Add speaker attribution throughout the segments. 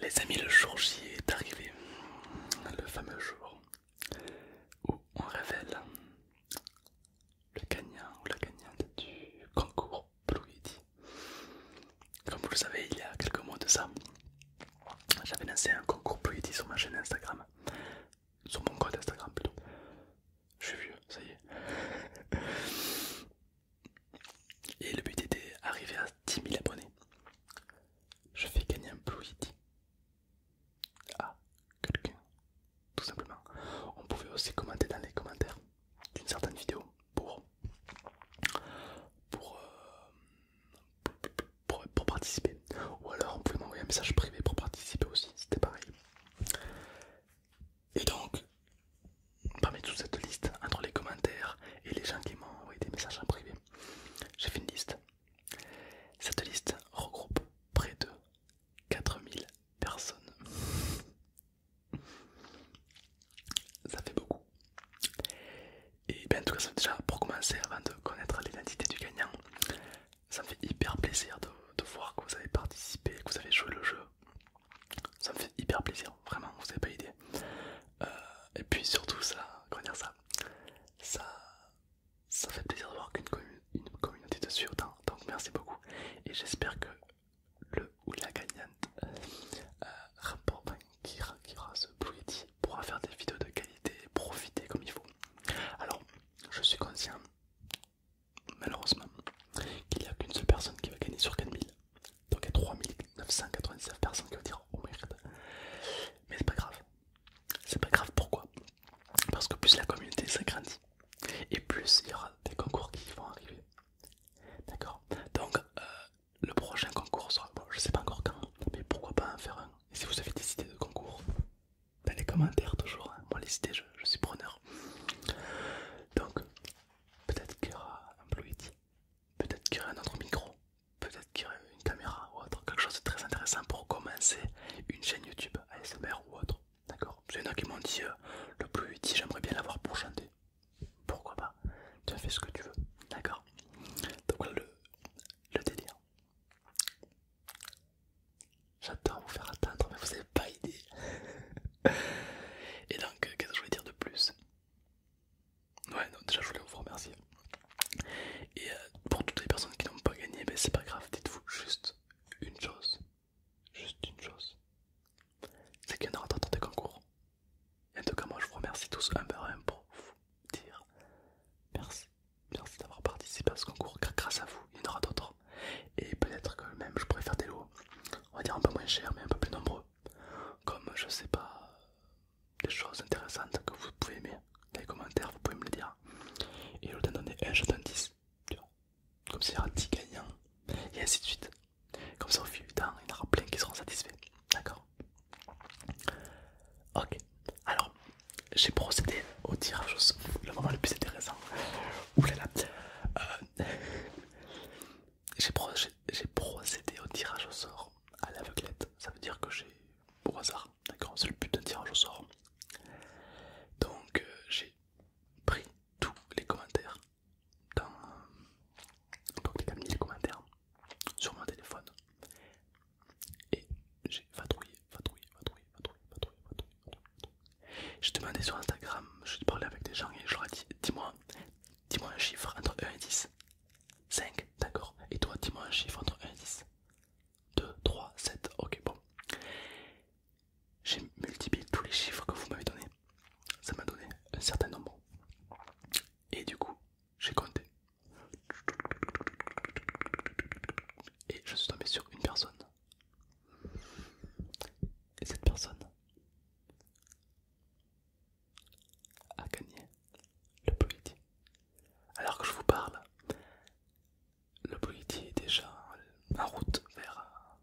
Speaker 1: Les amis, le jour J est arrivé, le fameux jour où on révèle le gagnant ou la gagnante du concours Blue Comme vous le savez, il y a quelques mois de ça, j'avais lancé un concours Blue sur ma chaîne Instagram sur mon code Instagram plutôt. Je suis vieux, ça y est. Et le but était d'arriver à 10 000 abonnés. Je fais gagner un Blue Yeti à quelqu'un, tout simplement. On pouvait aussi commenter dans les commentaires d'une certaine vidéo pour euh, pour, pour pour participer. Ou alors on pouvait m'envoyer un message privé pour participer aussi, c'était pareil. Et donc, parmi toute cette liste, entre les commentaires et les gens qui m'ont envoyé des messages en privé, j'ai fait une liste. Cette liste regroupe près de 4000 personnes. Ça fait beaucoup. Et bien, en tout cas, déjà pour commencer, avant de connaître l'identité du gagnant, ça me fait hyper plaisir de, voir que vous avez participé, que vous avez joué le jeu. Ça me fait hyper plaisir, vraiment, vous n'avez pas idée. Euh, et puis surtout, ça, comment dire ça, ça, ça fait plaisir de voir qu'une communauté une communauté autant. Donc merci beaucoup. Et j'espère que le ou la gagnante euh, rapport, qui, ce Blue pourra faire des vidéos de qualité, et profiter comme il faut. Alors, je suis conscient, malheureusement, qu'il n'y a qu'une seule personne qui va gagner sur 4000. Donc il y a 3999 personnes qui vont dire oh merde. Mais c'est pas grave. C'est pas grave pourquoi Parce que plus la communauté s'agrandit et plus il y aura des concours qui vont arriver. D'accord Donc euh, le prochain concours sera. Bon, je sais pas encore quand, mais pourquoi pas en faire un Et si vous avez des idées de concours, dans les commentaires toujours. Hein. Moi les idées, je, suis preneur. Donc peut-être qu'il y aura un Blue Yeti, peut-être qu'il y aura un autre micro, peut-être qu'il y aura une caméra ou autre, quelque chose de très intéressant pour commencer une chaîne YouTube ASMR ou autre. D'accord j'ai y en qui m'ont dit euh, le Blue Yeti, j'aimerais bien l'avoir pour chanter. Pourquoi pas Tu as fait ce que tu veux. D'accord Donc voilà le, le délire à vous faire attendre, mais vous n'avez pas idée. Et donc, euh, qu'est-ce que je voulais dire de plus Ouais, non, déjà je voulais vous remercier. Et euh, pour toutes les personnes qui n'ont pas gagné, ben, c'est pas grave, dites-vous juste une chose. Juste une chose. C'est qu'il y en aura d'autres des concours. en tout cas, moi je vous remercie tous un par un pour vous dire merci merci d'avoir participé à ce concours grâce à vous, il y en aura d'autres. Et peut-être que même je pourrais faire des lots, on va dire un peu moins cher mais un peu plus nombreux. Comme je sais pas, des choses intéressantes que vous pouvez aimer dans les commentaires, vous pouvez me le dire. Et je lieu d'en donner un, je donne 10. Comme ça Comme y aura 10 gagnants, et ainsi de suite. Comme ça, au fil du temps, il y en aura plein qui seront satisfaits. D'accord Ok, alors j'ai procédé au tirage au sort, le moment le plus intéressant. Oulala, euh, j'ai procédé au tirage au sort à l'aveuglette, ça veut dire que j'ai au hasard, d'accord, c'est le but d'un tirage au sort. Donc euh, j'ai pris tous les commentaires dans, donc les commentaires sur mon téléphone et j'ai vadrouillé, vadrouillé, vadrouillé, vadrouillé, vadrouillé, vadrouillé, J'ai demandé sur Instagram, j'ai parlais avec des gens et je leur ai dit dis-moi, dis-moi un chiffre entre 1 et 10. 5, d'accord. Et toi, dis-moi un chiffre entre 1 et 10. 2, 3, 7, ok, bon. J'ai multiplié tous les chiffres que vous m'avez donné Ça m'a donné un certain nombre. Et du coup, j'ai compté. Et je suis tombé sur une personne. Et cette personne a gagné le politique Alors que je vous parle, le politique est déjà en route vers,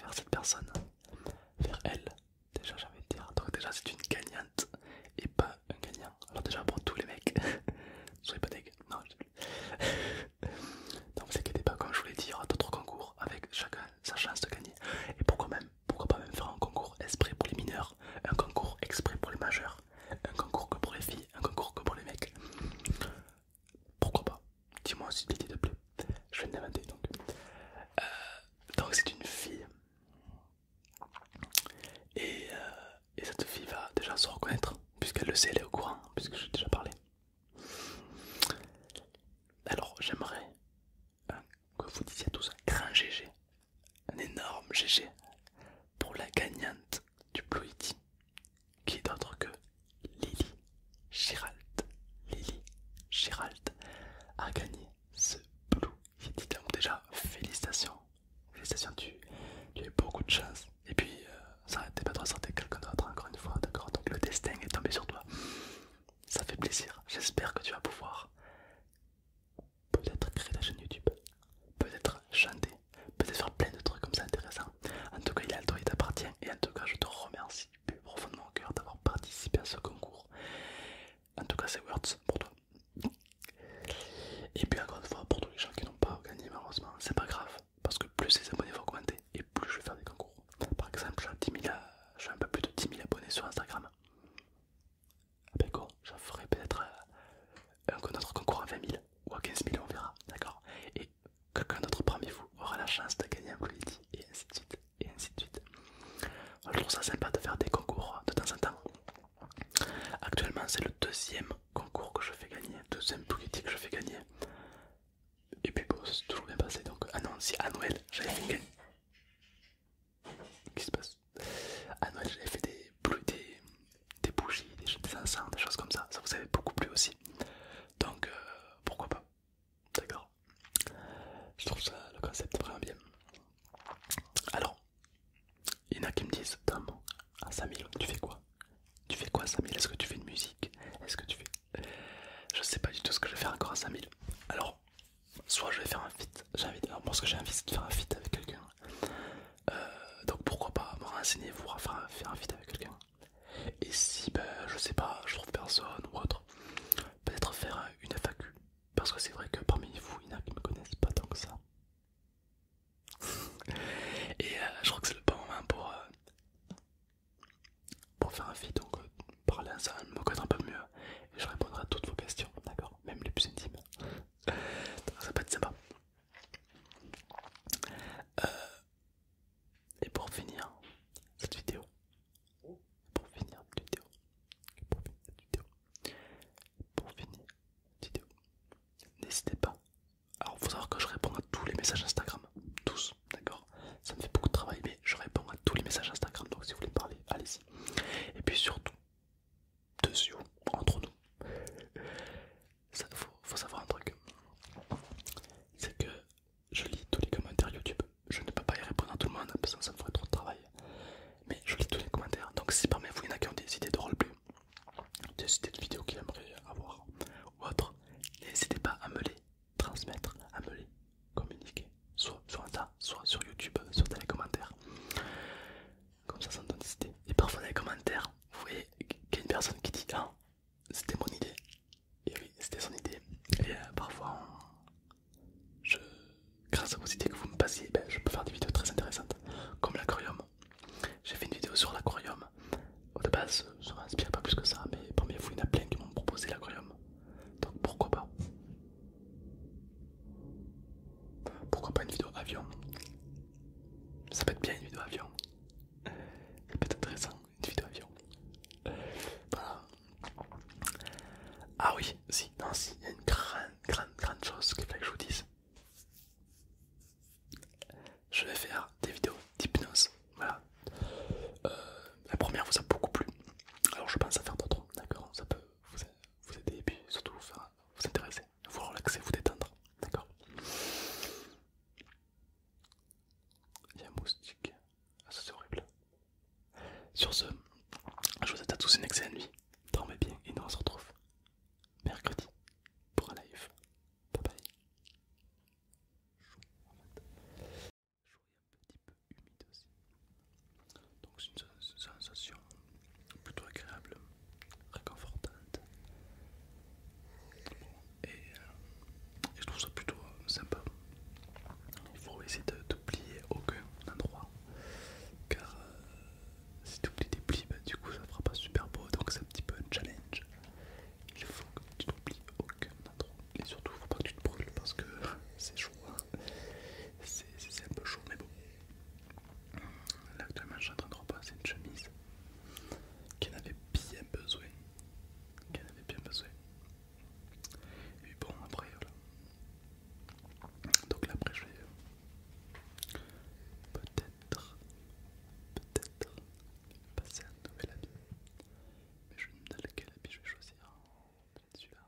Speaker 1: vers cette personne, vers elle. Déjà j'ai envie dire, donc déjà c'est une gagnante et pas un gagnant. Alors déjà pour tous les mecs, soyez pas non Donc vous inquiétez pas, comme je voulais dire dit, d'autres concours avec chacun sa chance de gagner. Et pourquoi même, pourquoi pas même faire un concours exprès pour les mineurs, un concours exprès pour les majeurs, un concours que pour les filles, un concours que pour les mecs. Pourquoi pas Dis-moi si l'idée te plaît, je vais l'inventer donc. Euh, donc c'est une fille. Euh, et, cette fille va déjà se reconnaître, puisqu'elle le sait, elle est au courant, puisque j'ai déjà parlé. Alors j'aimerais hein, que vous disiez à tous un grand GG, un énorme GG pour la gagnante du Ploïti, qui est autre que Lily Gérald, Lily Gérald a gagné ce Blue Yeti. déjà, félicitations. Félicitations, tu, tu as eu beaucoup de chance. Et puis, euh, ça n'arrêtait pas de ressortir quelqu'un d'autre encore une fois, d'accord Donc le destin est tombé sur toi. Ça fait plaisir. J'espère que tu vas pouvoir peut-être créer ta chaîne YouTube, peut-être chanter, peut-être faire plein de trucs comme ça intéressant. En tout cas, il est à toi, il t'appartient. Et en tout cas, je te remercie plus profondément au cœur d'avoir participé à ce concours. En tout cas, c'est Words pour toi. Et puis, encore une fois, pour tous les gens qui n'ont pas gagné, malheureusement, c'est pas grave parce que plus les abonnés vont augmenter et plus je vais faire des concours. Par exemple, j'ai un peu plus de 10 000 abonnés sur Instagram. Après ah ben, quoi, j'en ferai peut-être euh, un autre concours à 20 000 ou à 15 000, on verra, d'accord quelqu'un d'autre parmi vous aura la chance de gagner un bulletin et ainsi de suite et ainsi de suite. Je trouve ça sympa de faire des concours hein, de temps en temps. Actuellement c'est le deuxième concours que je fais gagner, deuxième bulletin que je fais gagner. Et puis bon, c'est toujours bien passé donc. Ah non, à Noël j'avais fait gagner. Qu'est-ce qui se passe À Noël j'avais fait des des bougies, des, des des choses comme ça. Ça vous avait beaucoup plu aussi. Donc euh, pourquoi pas D'accord Je trouve ça le concept vraiment bien. Alors, il y en a qui me disent Tom, à 5000, tu fais quoi Tu fais quoi à 5000 Est-ce que tu fais de musique Est-ce que tu fais. Je sais pas du tout ce que je vais faire encore à 5000. Alors, soit je vais faire un feat. Alors, moi, ce que j'ai envie, c'est de faire un feat avec quelqu'un. Euh, donc, pourquoi pas me renseigner pour faire, faire un feat avec quelqu'un et si, ben, je sais pas, je trouve personne ou autre, peut-être faire une FAQ. Parce que c'est vrai que parmi vous, il y en a qui me connaissent pas tant que ça. Et euh, je crois que c'est le bon moment pour, euh, pour faire un feed, donc euh, parler ensemble, me connaître un peu mieux. Et je répondrai à toutes vos questions, d'accord Même les plus intimes. ça peut être sympa. Et pour finir cette vidéo, pour finir cette vidéo, pour finir cette vidéo, pour finir cette vidéo, n'hésitez pas. Alors, faut savoir que je réponds à tous les messages Instagram, tous, d'accord Ça me fait beaucoup de travail, mais je réponds à tous les messages Instagram, donc si vous voulez me parler, allez-y. Et puis surtout, dessus, entre nous, ça faut, savoir un truc c'est que je lis tous les commentaires YouTube je ne peux pas y répondre à tout le monde parce que ça me ferait trop de travail mais je lis tous les commentaires donc si parmi vous il y en a qui ont des idées de roleplay des idées de vidéos qu'ils aimeraient avoir ou autre n'hésitez pas à me les transmettre à me les communiquer soit sur Insta soit sur YouTube soit dans les commentaires comme ça ça me donne des idées et parfois dans les commentaires vous voyez qu'il y a une personne qui dit ah c'était mon idée. Et oui, c'était son idée. Et euh, parfois, je... grâce à vos idées que vous me passiez, ben, je peux faire des vidéos très intéressantes, comme l'aquarium. J'ai fait une vidéo sur l'aquarium. Au de base, je ne m'inspire pas plus que ça, mais parmi vous, il y en a plein qui m'ont proposé l'aquarium. Donc pourquoi pas Pourquoi pas une vidéo avion Ça peut être bien une vidéo avion. Ça peut être intéressant, une vidéo avion. Ah oui, si, non, si, il y a une grande, grande, grande chose que je vous dise. Je vais faire des vidéos d'hypnose. Voilà. Euh, la première vous a beaucoup plu. Alors je pense à faire d'autres, d'accord Ça peut vous, aider et puis surtout vous intéresser vous relaxer, vous détendre. D'accord Il y a un moustique. Ah, ça c'est horrible. Sur ce, je vous souhaite à tous une excellente nuit. Dormez bien et nous on se retrouve mercredi pour un live. Bye bye. Donc c'est une sensation plutôt agréable, réconfortante. Euh, et, je trouve ça plutôt euh, sympa. Il faut essayer d'oublier aucun endroit car euh, si tu oublies des plis, ben, du coup ça fera pas super beau donc c'est un petit peu un challenge. Il faut que tu n'oublies aucun endroit et surtout il faut pas que tu te brûles parce que c'est chaud, hein. c'est un peu chaud mais bon. Là actuellement je suis en train de repasser une chemise qu'elle avait bien besoin. Qu'elle avait bien besoin. Et bon après voilà. Donc là après je vais peut-être peut-être passer à un nouvel habit. Mais je me pas quel habit je vais choisir. Peut-être celui-là,